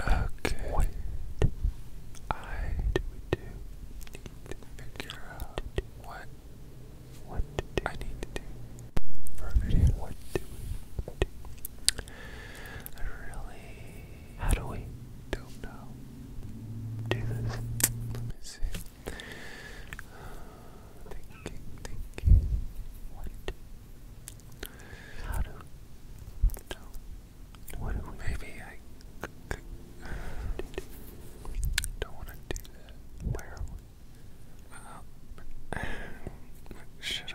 Okay. What do we do need to figure out what what do. I need to do for What do we do? I really how do we don't do this? Let me see. thinking, thinking. What how do? No. What do Maybe I don't want to do that. Where are we? Uh, should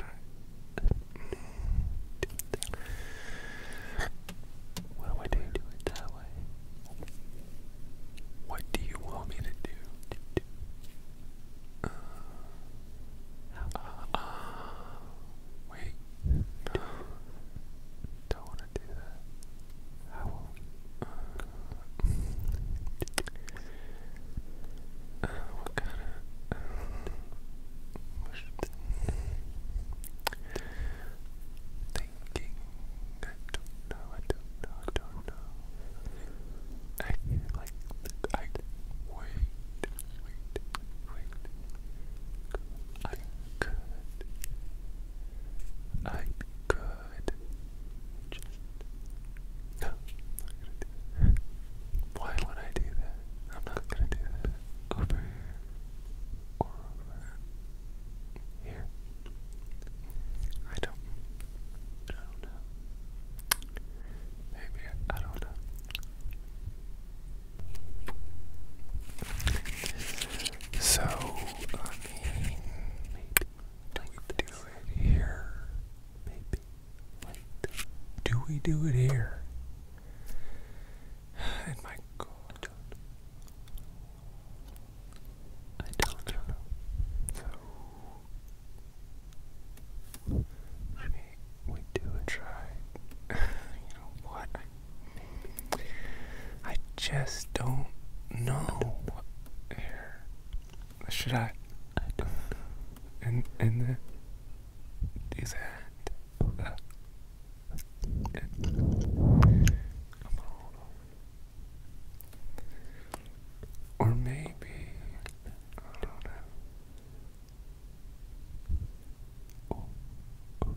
What do I do? Do it that way. What do you want me to do? Uh, uh, wait, don't want to do that. How what kind of? Thinking, I don't know, I don't know, I don't know like I wait, wait, wait. I could, I could. no, Why would I do that? I'm not gonna do that. Over here or over here. I don't. I don't know. Maybe I don't know. So I mean, do we do it here? Maybe. do we do it here? And my God, I don't know. So we, we do try, you know what, I, I just don't know what hair, should I, I don't know, and, and then, do that, uh, or maybe, I don't know. Oh, Okay.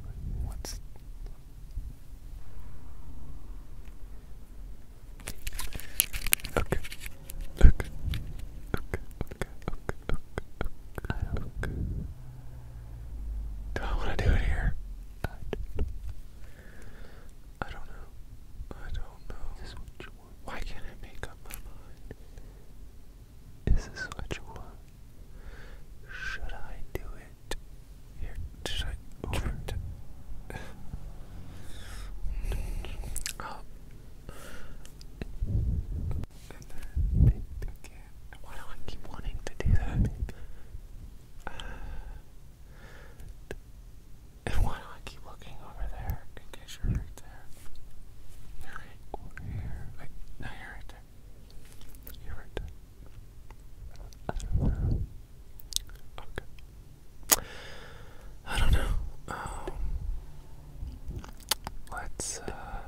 Okay. Okay. Okay. Okay. Okay. Okay. okay. Do I want to do it here? I don't. know. I don't know. Why can't I make up my mind? Is this what you want? Should I do it? should I over to Why do I keep wanting to do that? and why do I keep looking over there location right there. You're right over here. no, you're right there. You're right there. Okay. I don't know. Um, let's uh,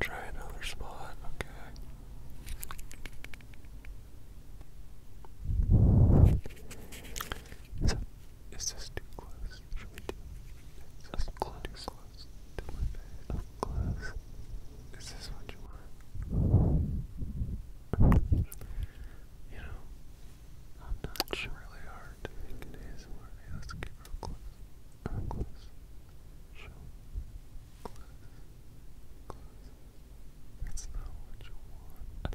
try another spot. Okay. So is this too close? Should we do close. too close to close. Is this what you want? You know, i it's really hard let's get real close. close. Close. Close. That's not what you want.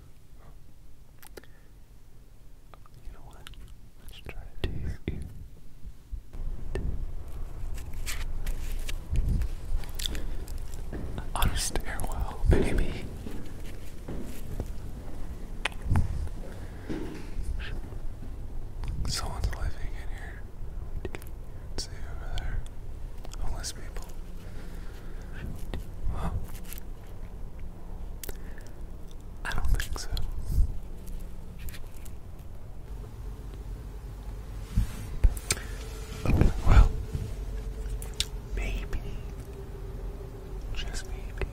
You know what? Let's try it to On a stairwell, baby. Someone's living in here. See over there. Homeless people. I don't think so. well, maybe, just maybe,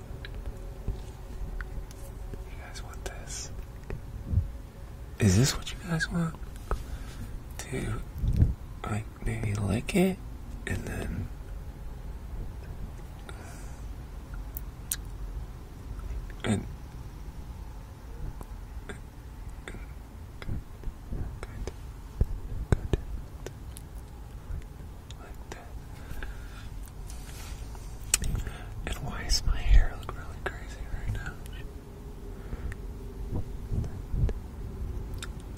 you guys want this? Is this what you guys want? To, like, maybe lick it, and then and And why does my hair look really crazy right now?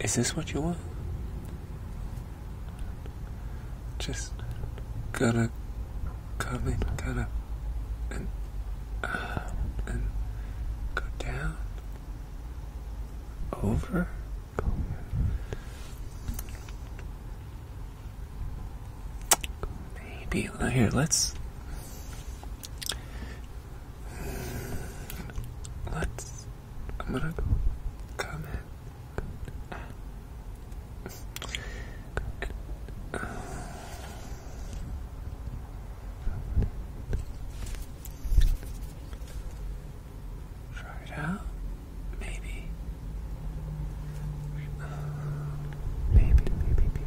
Is this what you want? Just gotta come in, gotta and uh, go down, over, go here. Let's let's I'm gonna go comment. Um, try it out, maybe. maybe, maybe, maybe.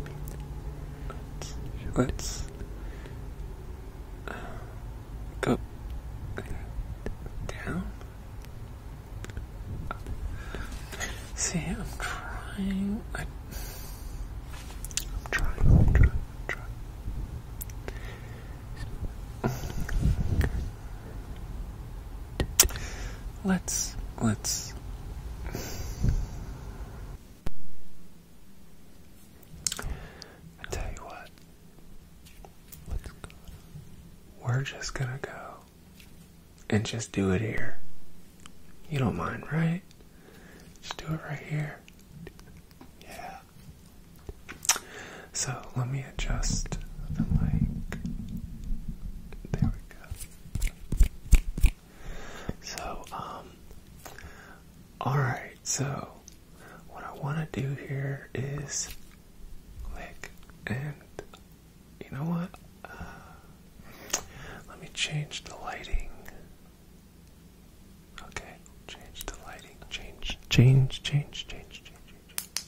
Let's, go down. See, I'm trying. I, am trying. Let's. Let's. I tell you what. We're just gonna go and just do it here. You don't mind, right? Just do it right here. Yeah. So let me adjust the light. There we go. So, um, alright, so what I want to do here is lick, and you know what? Uh, let me change the lighting. Okay, change the lighting. Change, change, change, change, change, change.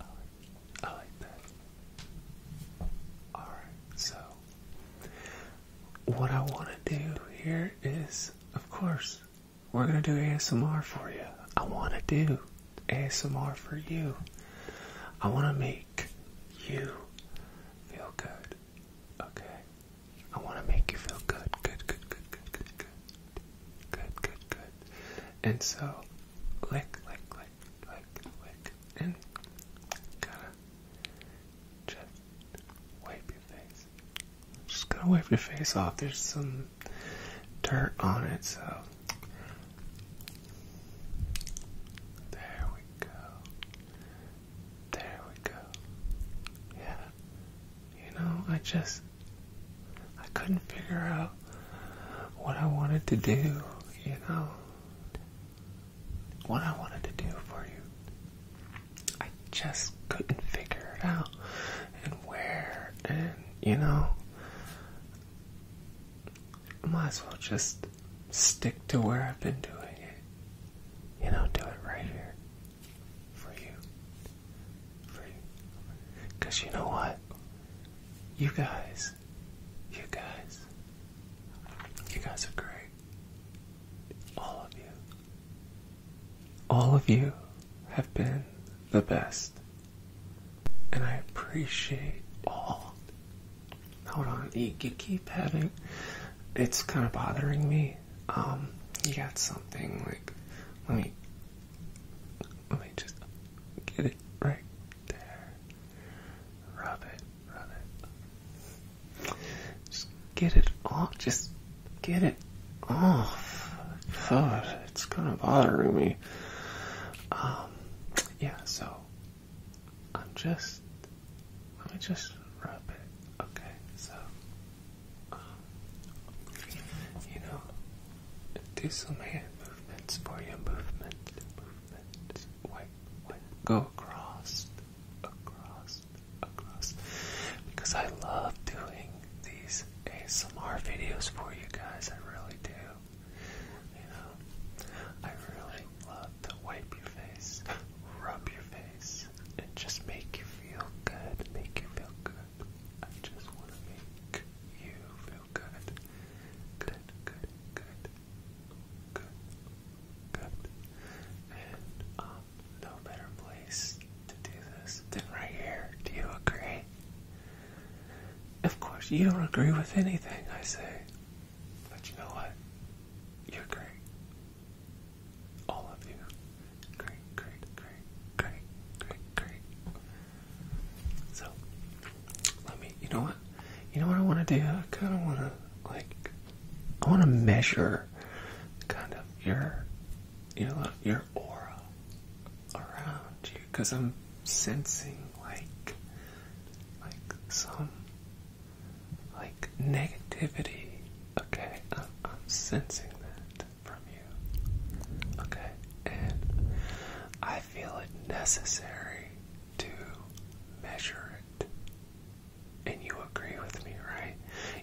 I like, I like that. All right, so what I want to do here is, of course, we're gonna do ASMR for you. I wanna do ASMR for you. I wanna make you feel good. Okay? I wanna make you feel good. Good, good, good, good, good, good. Good, good, good. And so, lick, lick, lick, lick, lick, and kinda just wipe your face. Just gotta wipe your face off. There's some dirt on it, so there we go. There we go. Yeah. You know, I just I couldn't figure out what I wanted to do, you know. What I wanted to do for you. I just couldn't figure it out. And where and you know, I might as well just stick to where I've been doing it. You know, do it right here for you. For you. Because you know what? You guys, you guys, you guys are great. All of you. All of you have been the best. And I appreciate all. Hold on, you, you keep having. It's kind of bothering me. Um, you got something like. Let me. Let me just get it right there. Rub it, rub it. Just get it off. Just get it off. God, it's kind of bothering me. Um, yeah, so I'm just. Let me just rub it. Okay, so. Um, you know, do some hand movements for your movement. Movement. Go across, across, across. Because I love doing these these ASMR videos for you guys. I really do. You know, I really love to wipe your face, rub your face, and just make you feel good. Make you feel good. I just want to make you feel good. Good, good, good, good, good. And, um, no better place to do this than right here. Do you agree? Of course, you don't agree with anything I say. But you know what? You're great. All of you. Great, great, great, great, great, So, let me, you know what? You know what I want to do? I kind of want to, like, I want to measure kind of your, your, your aura around you because I'm sensing like like some like negativity. Okay, I'm, I'm sensing that from you. Okay, and I feel it necessary to measure it. And you agree with me, right?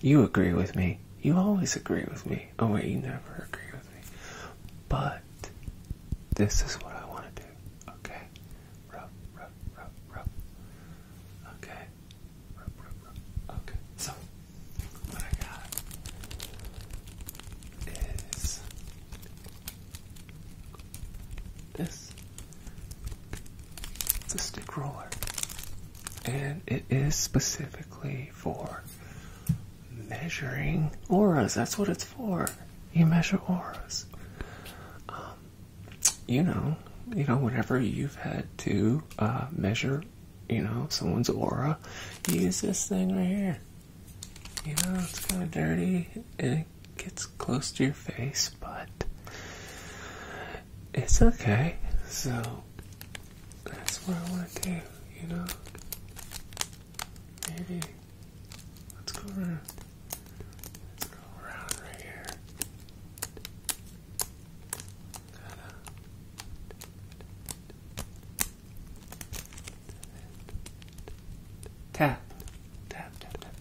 You agree with me. You always agree with me. Oh, wait, you never agree with me. But this is what I want to do. Okay? Rub, rub, rub, rub. Okay? Rub, rub, rub. Okay. So, what I got is this. It's stick roller. And it is specifically for measuring auras. That's what it's for. You measure auras. Um, you know, you know, whenever you've had to uh, measure, you know, someone's aura, use this thing right here. You know, it's kind of dirty and it gets close to your face, but it's okay. So that's what I want to do, you know. Maybe. Let's go around. Let's go around right here. tap, tap, tap, tap,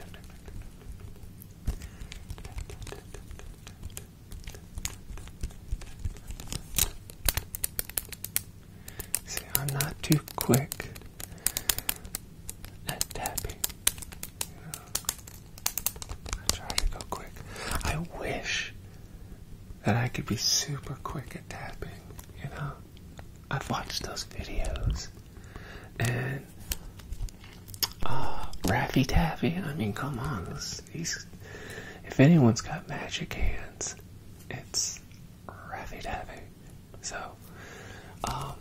See, I'm not too quick at tapping. I try to go quick. I wish that I could be super quick at tapping, you know? I've watched those videos. And uh, Raffy Taffy, I mean come on, if anyone's got magic hands, it's Ravi Davy. So, um,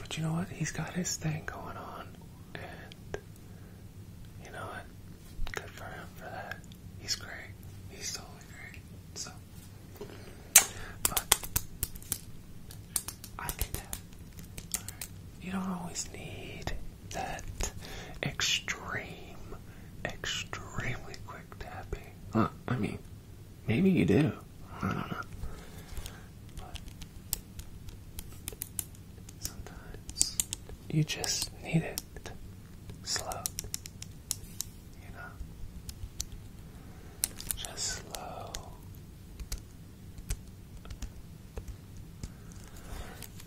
but you know what? He's got his thing going on, and you know what? Good for him for that. He's great. He's totally great. So, but I did that. You don't always need that extreme, extremely quick tapping. I mean, maybe you do. I don't know. sometimes you just need it slow. You know? Just slow.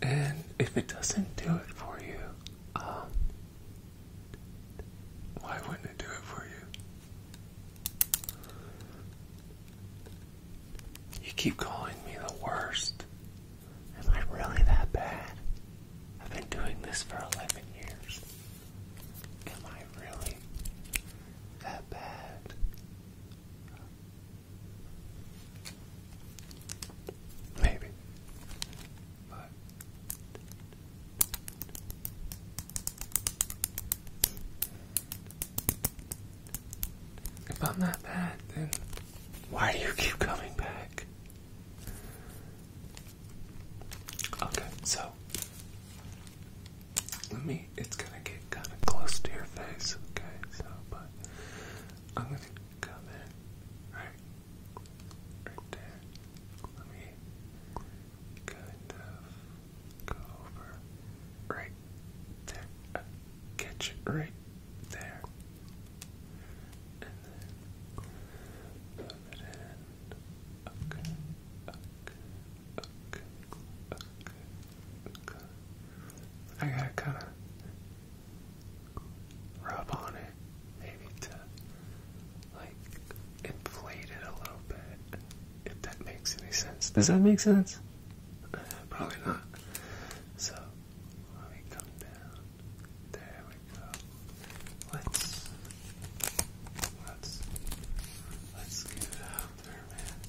And if it doesn't do it for you, um, why wouldn't it do it for you? You keep calling me the worst. Am I really that bad? I've been doing this for 11 years. Am I really that bad? Maybe. But if I'm not bad, then why do you keep coming back? Okay, so let me, it's gonna get kind of close to your face, okay? So, but I'm gonna come in, alright? right there. Let me go over right there. catch it right there. And then Okay. Okay. Okay. Okay. Okay. I gotta kinda rub on it maybe to like inflate it a little bit, if that makes any sense. Does that make sense? Uh, probably not. So let me come down. There we go. Let's let's let's get it out there, man.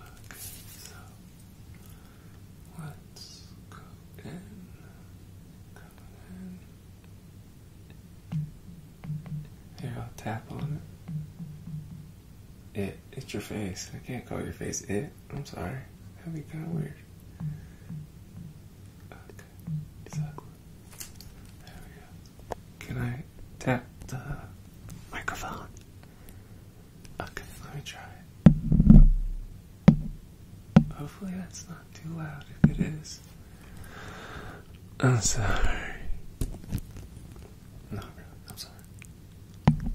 Okay, so let's go in. Here, I'll tap on it. It. It's your face. I can't call your face it. I'm sorry. That'd be kind of weird. Can I tap the microphone? Okay, let me try Hopefully that's not too loud. If it is, I'm sorry. No, really, I'm sorry.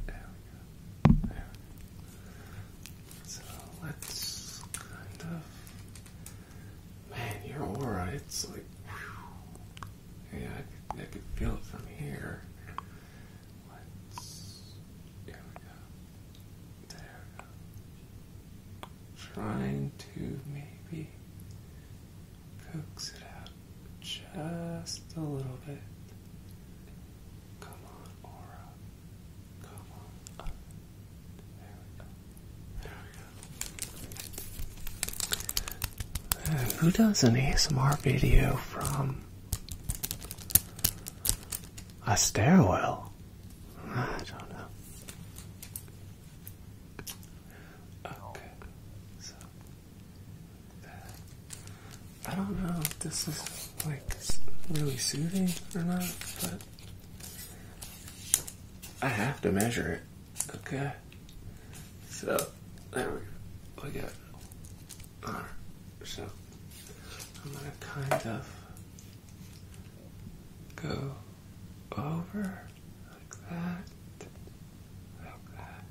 There we go. There. So let's kind of. Man, your aura, it's like. Yeah, I could, feel it from here. Let's. There we go. There trying to maybe coax it out just a little bit. Come on, Aura. Come on. There we go. There we go. who does an ASMR video from a stairwell? I don't know. Okay, so I don't know if this is like really soothing or not, but I have to measure it. Okay, so there we, we got. Alright, so I'm gonna kind of Go over like that, like that,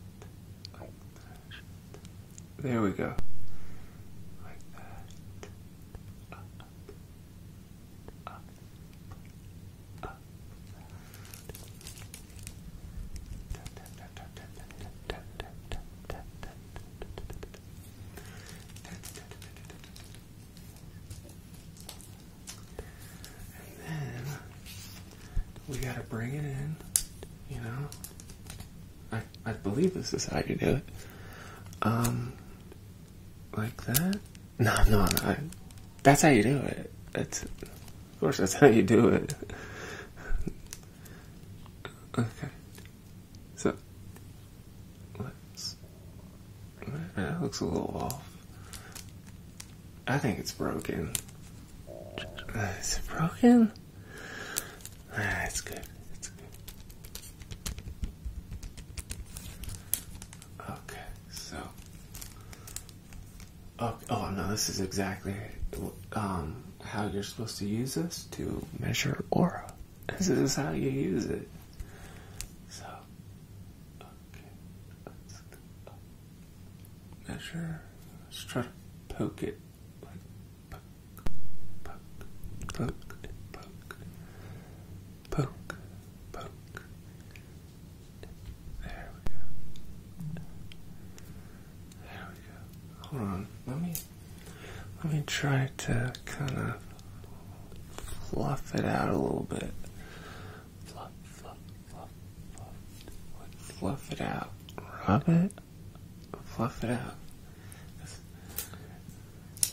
like that. There we go. Like that. And then we gotta bring it in, you know. I I believe this is how you do it. Um like that? No, no, that's how you do it. That's of course that's how you do it. okay. So let That looks a little off. I think it's broken. Is it broken? Ah, good. Okay, so. Oh, no, this is exactly um, how you're supposed to use this to measure aura. This is how you use it. So Measure. Let's try to poke it. poke, poke, poke, poke, poke, poke. There we go. There we go. Hold on. Let me let me try to kind of fluff it out a little bit. Fluff, fluff, fluff, fluff. it out. Rub it. Fluff it out.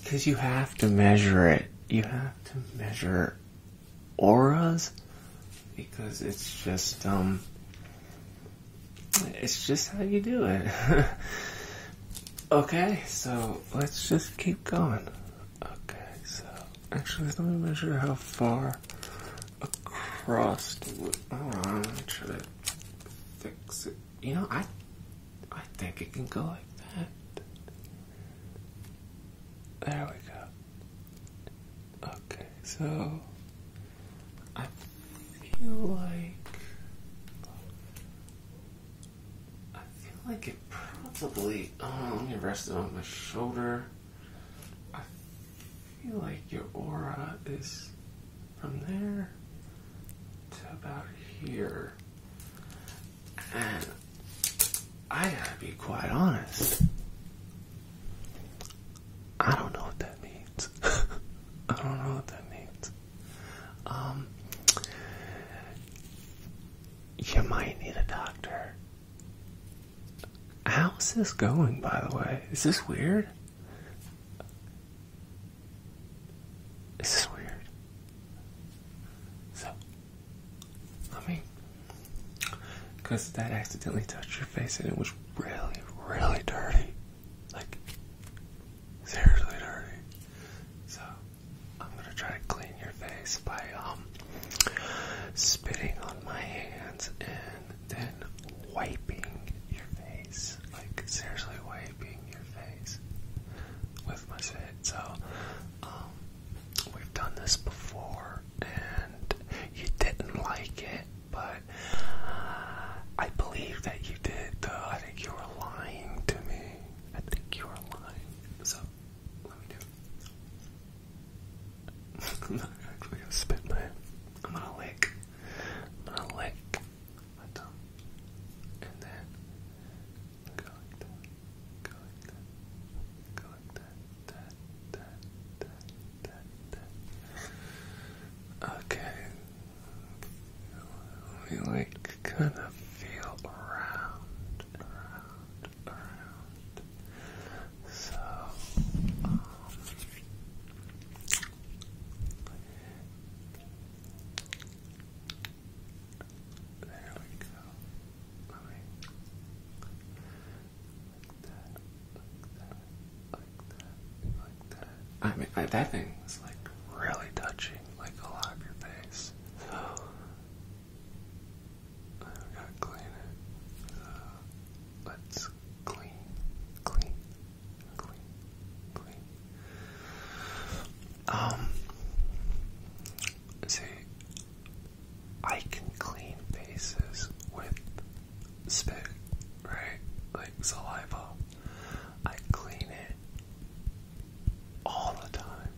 Because you have to measure it. You have to measure auras because it's just, um, it's just how you do it. okay, so let's just keep going. Okay, so actually, let me measure how far across. Hold on, let me try to fix it. You know, I, I think it can go like that. There we go. Okay, so I feel like I feel like it probably. Oh, let me rest it on my shoulder. I feel like your aura is from there to about here. And I gotta be quite honest. I don't know what that means. I don't know what that means. Um, you might need a doctor. How's this going, by the way? Is this weird? Is this weird? So, I mean, because that accidentally touched your face and it was really, really dirty. Like, seriously dirty. So, I'm gonna try to clean your face by um, spitting on my hands and then wiping your face. Like seriously wiping your face with my spit. So um, we've done this before and you didn't like it, but I believe that you did though. I think you were lying to me. I think you were lying. So I'm not actually gonna spit my. I'm gonna lick. I'm gonna lick my tongue, and then go like that. Go like that. Go like that. That. That. That. That. That. Okay. We like kind of feel around. So, there we go. like that, like that, like that, like that. I mean, that thing was like really touching, like a lot of your face. So, I gotta clean it. Uh, let's clean, clean, clean, clean. Um, see, I can clean faces with spit, right? Like saliva. I clean it all the time.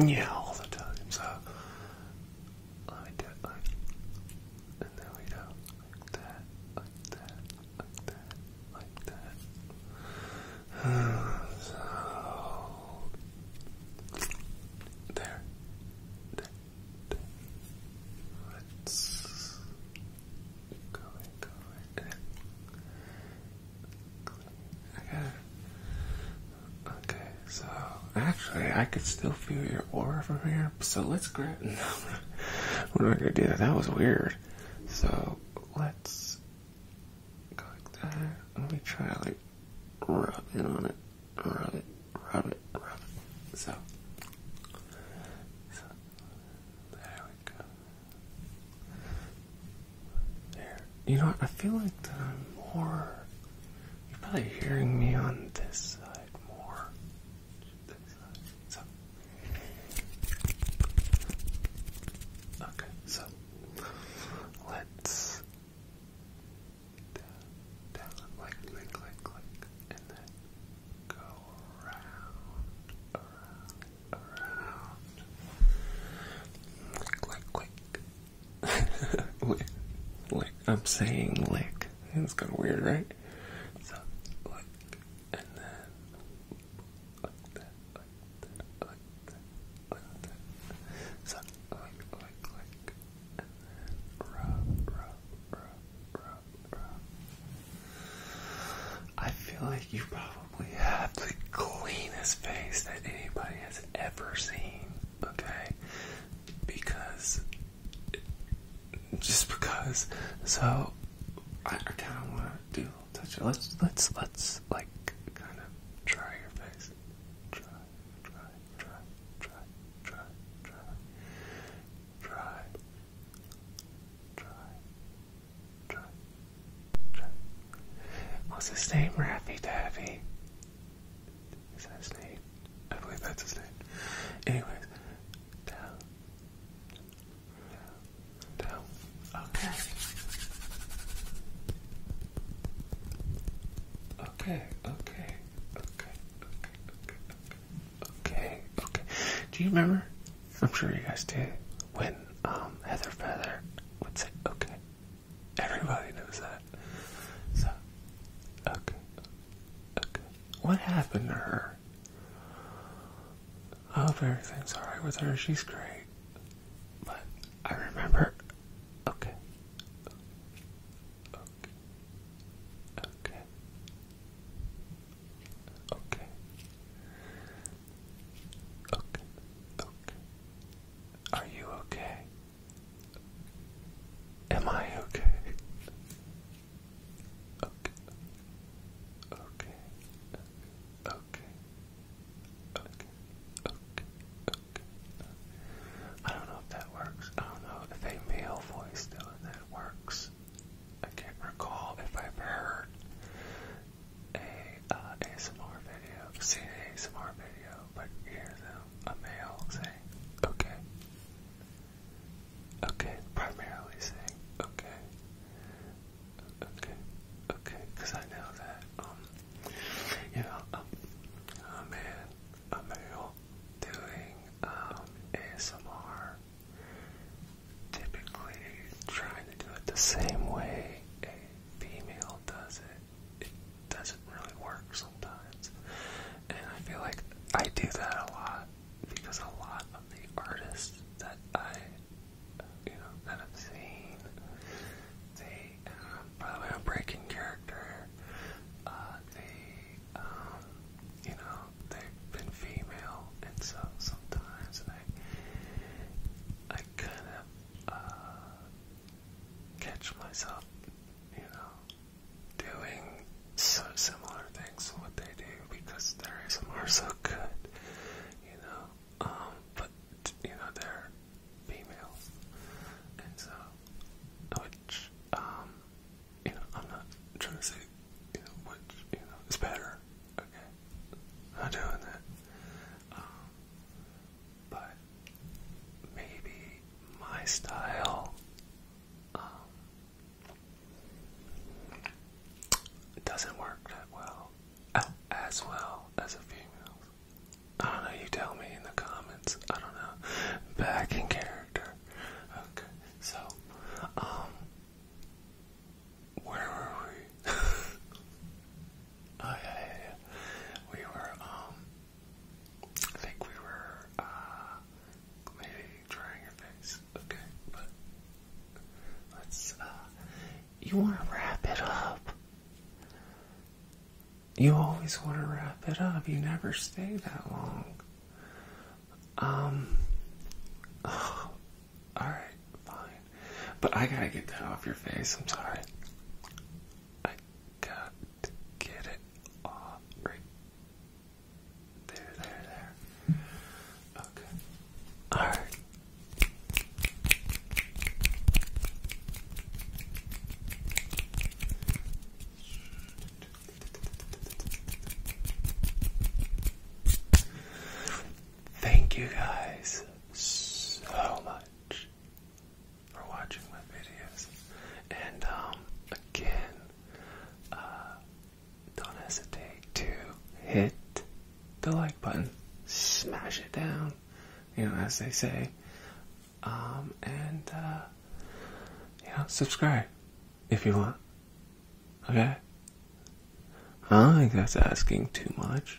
Yeah, all the time. So let do and there we go, that, like that, like that, like that. so there, there, there. Let's go Okay. Okay, so actually, I could still feel your aura from here. So let's grab. No, we're not gonna do that. That was weird. So let's go like that. Let me try like rub it on it, rub it, rub it, rub it. So, so uh, you know what? I feel like that I'm more. You're probably hearing me on this side more. Okay, so. Let's. Down, down, like, click, click, click, and then go around, Lick, lick, lick. I'm saying lick. It's kind of weird, right? So, lick, and then like that, like that, like that, like that. So, lick, lick, lick, and then rub, rub, rub, rub, rub. I feel like you probably have the cleanest face that anybody has ever seen, okay? Because, just because. So, I, kind of want to do a little touch. -up. Let's, let's, let's, like, kind of try your face. Try, try, try, try, try, try, try, try, What's his name? Raffy Taffy. Is that his I believe that's his name. Anyways, down. Down. down. Okay. Okay, okay, okay, okay, okay, okay, okay. Do you remember? I'm sure you guys do. When um, Heather Feather would say, okay. Everybody knows that. So, okay. Okay. What happened to her? I oh, hope everything's alright with her. She's great. But I remember. Okay. Okay. Okay. Okay. Okay. Okay. Are you okay? Am I okay? Okay. Okay. Okay. Okay. Okay. Okay. okay. I don't know if that works. I don't know if a male voice doing that works. I can't recall if I've heard a uh, ASMR video, see an ASMR video, but hear them a male saying, okay. Okay, primarily saying, okay. Okay, okay, because I know that, um, you know, um, a man, a male doing, um, ASMR, typically trying to do it the same way female does it, it doesn't really work sometimes. And I feel like I do that a lot because a lot of the artists that I, you know, that I've seen, they, um, by the way, I'm breaking character, uh, they, um, you know, they've been female, and so sometimes I, I kind of uh, catch myself, you know, doing so similar things to what they do because their ASMR is so good, you know. Um, but you know they're females, and so which um, you know I'm not trying to say you know which you know is better. Okay, not doing that. Um, but maybe my style um, doesn't work that well, oh, as well as a female's. I don't know, you tell me in the comments. I don't know. Back in character. Okay, so, um, where were we? Oh We were, um, I think we were, uh, maybe trying your face. Okay, but let's, uh, you want to wrap it up. You always want to wrap it up. You never stay that long. Um, alright, fine. But I gotta get that off your face. I'm sorry. I got to get it off there, there, there. Okay. All right. Thank you guys so much for watching my videos. And um, again, uh, don't hesitate to hit the like button, smash it down, you know, as they say. Um, and, uh, you know, subscribe if you want. Okay? I think that's asking too much.